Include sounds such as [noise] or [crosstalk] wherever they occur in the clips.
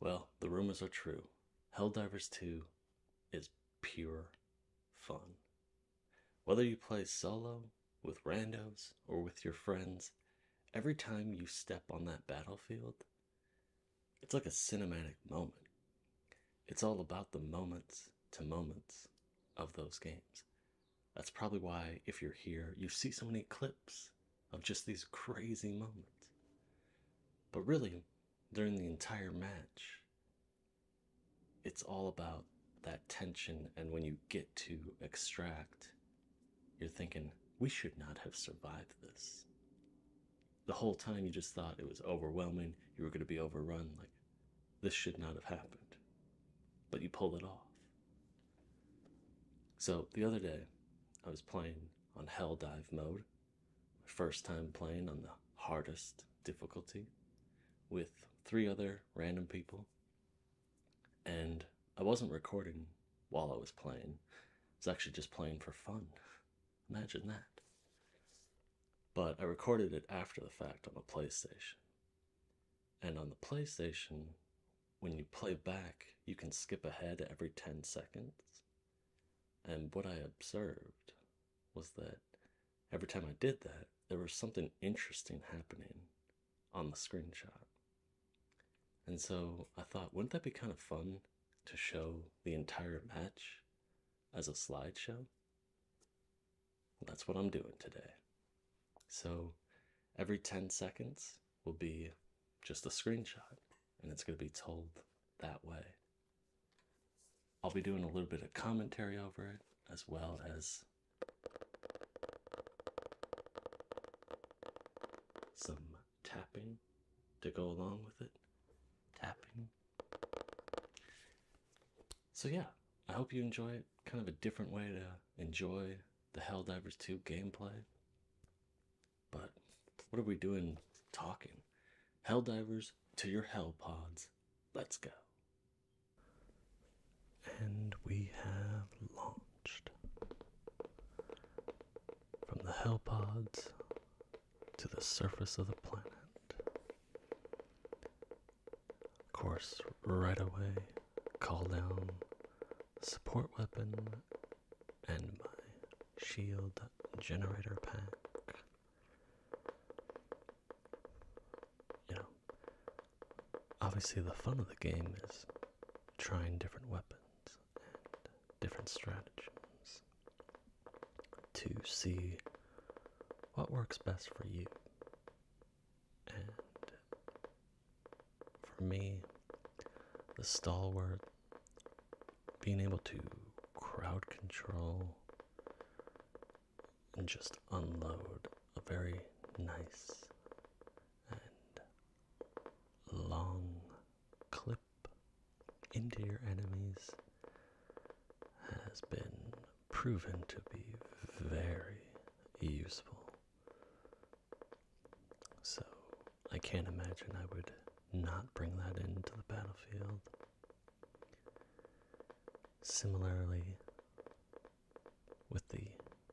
Well, the rumors are true. Helldivers 2 is pure fun. Whether you play solo, with randos, or with your friends, every time you step on that battlefield, it's like a cinematic moment. It's all about the moments to moments of those games. That's probably why, if you're here, you see so many clips of just these crazy moments. But really, during the entire match, it's all about that tension. And when you get to extract, you're thinking, we should not have survived this. The whole time you just thought it was overwhelming, you were going to be overrun, like, this should not have happened. But you pull it off. So the other day, I was playing on Hell Dive mode, my first time playing on the hardest difficulty with three other random people. And I wasn't recording while I was playing, it's actually just playing for fun. Imagine that. But I recorded it after the fact on the PlayStation. And on the PlayStation, when you play back, you can skip ahead every 10 seconds. And what I observed was that every time I did that, there was something interesting happening on the screenshot. And so I thought, wouldn't that be kind of fun to show the entire match as a slideshow? that's what I'm doing today. So every 10 seconds, will be just a screenshot and it's going to be told that way. I'll be doing a little bit of commentary over it as well as some tapping to go along with it. Tapping. So, yeah, I hope you enjoy Kind of a different way to enjoy the Helldivers 2 gameplay. But what are we doing talking? hell divers to your hell pods. Let's go. And we have launched from the hell pods to the surface of the planet. Of course, right away, call down support weapon, and my shield generator pack. You know, obviously, the fun of the game is trying different weapons and different strategies to see what works best for you for me, the stalwart, being able to crowd control and just unload a very nice and long clip into your enemies has been proven to be very useful so I can't imagine I would not bring that into the battlefield. Similarly, with the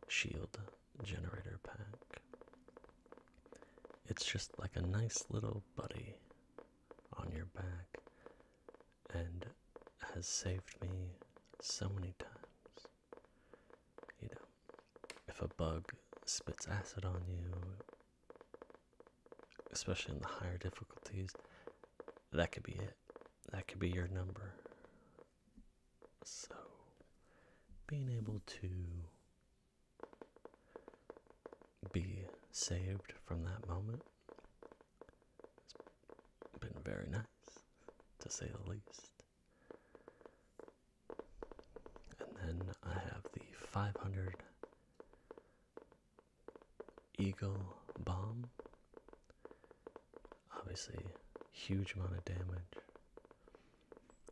shield generator pack, it's just like a nice little buddy on your back and has saved me so many times. You know, if a bug spits acid on you, especially in the higher difficulties, that could be it. That could be your number. So, being able to be saved from that moment has been very nice, to say the least. And then I have the 500 Eagle Bomb. Obviously, huge amount of damage.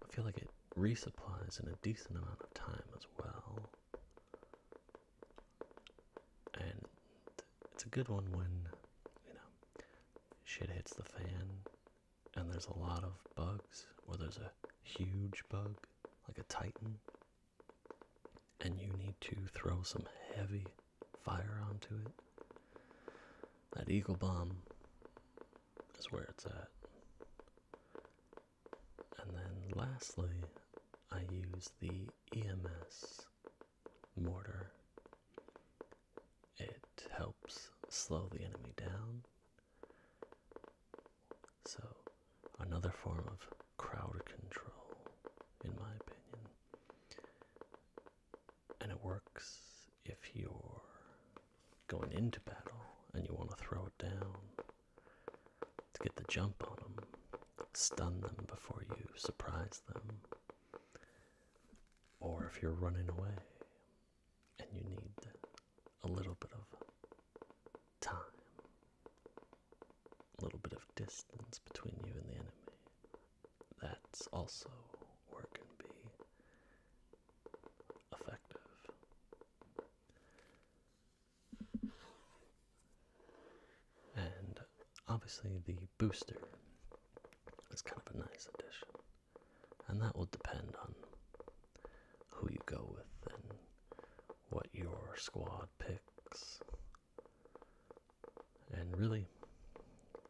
I feel like it resupplies in a decent amount of time as well. And it's a good one when, you know, shit hits the fan and there's a lot of bugs, or there's a huge bug, like a Titan, and you need to throw some heavy fire onto it, that Eagle Bomb is where it's at. And then lastly, I use the EMS mortar. It helps slow the enemy down so, another form of crowd control, in my opinion. And it works if you're going into battle and you want to throw it down to get the jump on them, stun them before you surprise them, or if you're running away and you need a little bit of time, a little bit of distance between you and the enemy. That's also where it can be effective. And obviously, the booster is kind of a nice addition and that will depend on who you go with and what your squad picks and really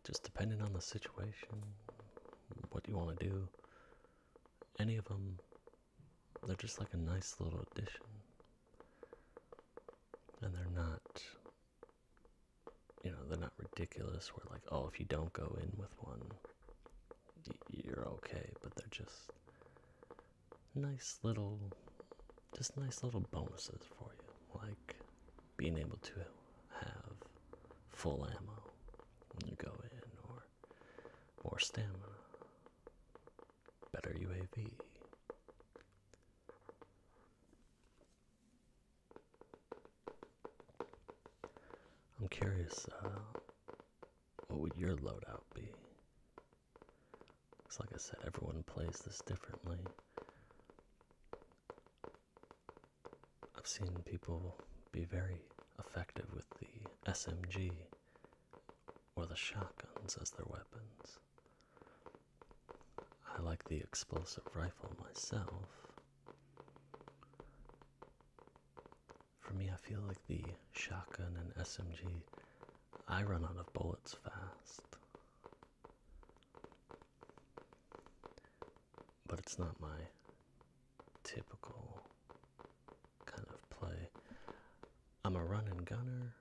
just depending on the situation what you want to do any of them they're just like a nice little addition and they're not you know they're not ridiculous We're like oh if you don't go in with one you're okay, but they're just nice little, just nice little bonuses for you, like being able to have full ammo when you go in, or more stamina, better UAV. I'm curious, uh, what would your loadout be? Because, like I said, everyone plays this differently. I've seen people be very effective with the SMG or the shotguns as their weapons. I like the explosive rifle myself. For me, I feel like the shotgun and SMG, I run out of bullets fast. But it's not my typical kind of play. I'm a running gunner,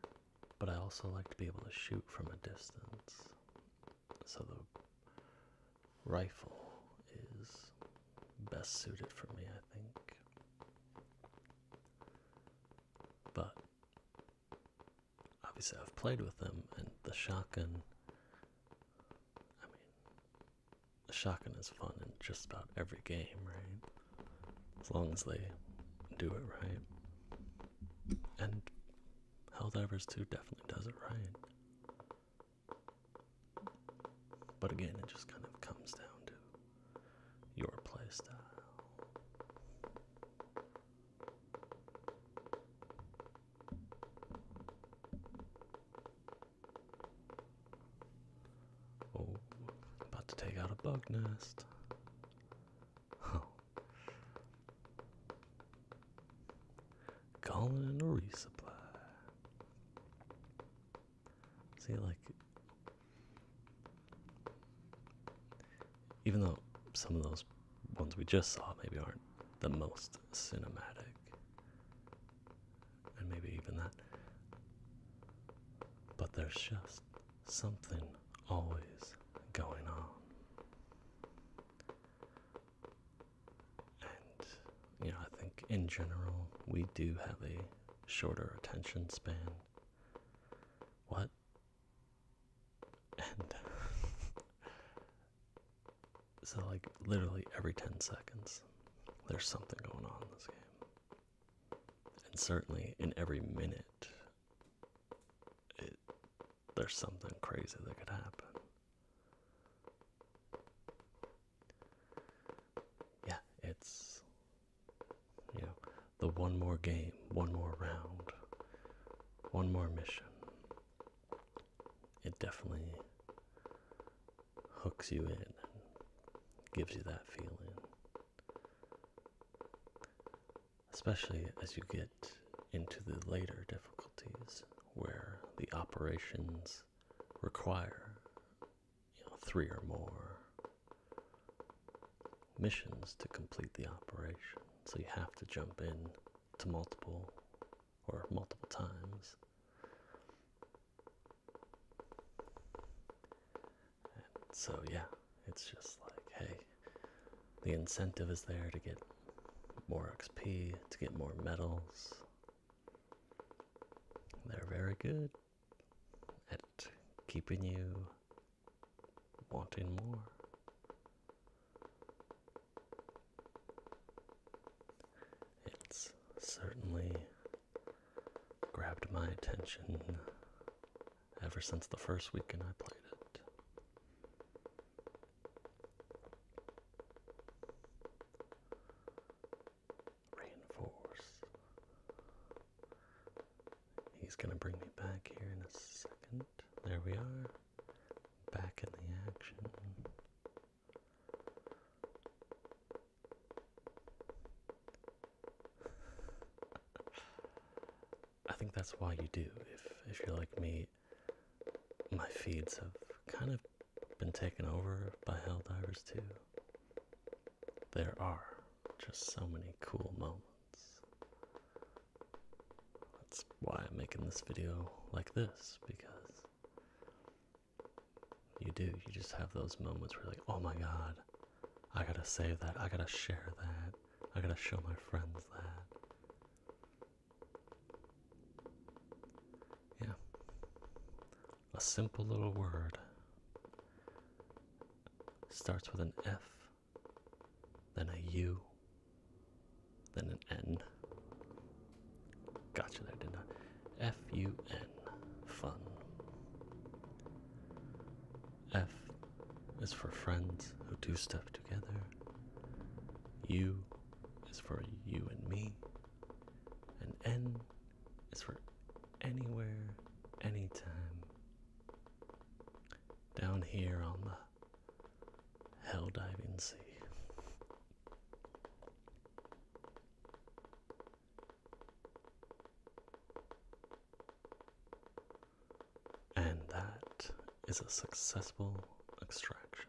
but I also like to be able to shoot from a distance. So the rifle is best suited for me, I think. But obviously, I've played with them, and the shotgun. I mean, the shotgun is fun in just about every game, right? As long as they do it right. And Hell Helldivers 2 definitely does it right. But again, it just kind of comes down to your playstyle. Oh, about to take out a bug nest. Oh. Calling in a resupply. See, like, even though some of those ones we just saw maybe aren't the most cinematic, and maybe even that, but there's just something always going on. And you know, I think in general we do have a shorter attention span. What? And [laughs] so, like, literally every 10 seconds, there's something going on in this game. And certainly in every minute, it, there's something crazy that could happen yeah, it's you know the one more game, one more round, one more mission. It definitely hooks you in and gives you that feeling. Especially as you get into the later difficulties where the operations require three or more missions to complete the operation. So you have to jump in to multiple or multiple times. so yeah, it's just like, hey, the incentive is there to get more XP, to get more medals, they're very good at keeping you wanting more. It's certainly grabbed my attention ever since the first weekend I played it reinforce. He's gonna bring me back here in a second. There we are. Back in the action. I think that's why you do. If if you're like me, my feeds have kind of been taken over by Hell Divers too. There are just so many cool moments. That's why I'm making this video like this, because you do, you just have those moments where like, oh my god, I gotta save that, I gotta share that, I gotta show my friends that. Yeah. A simple little word starts with an F, then a U, then an N. Gotcha there, didn't I? F U N. Fun. F is for friends who do stuff together. U is for you and me. And N is for anywhere, anytime. Down here on the hell diving sea. And that is a successful extraction.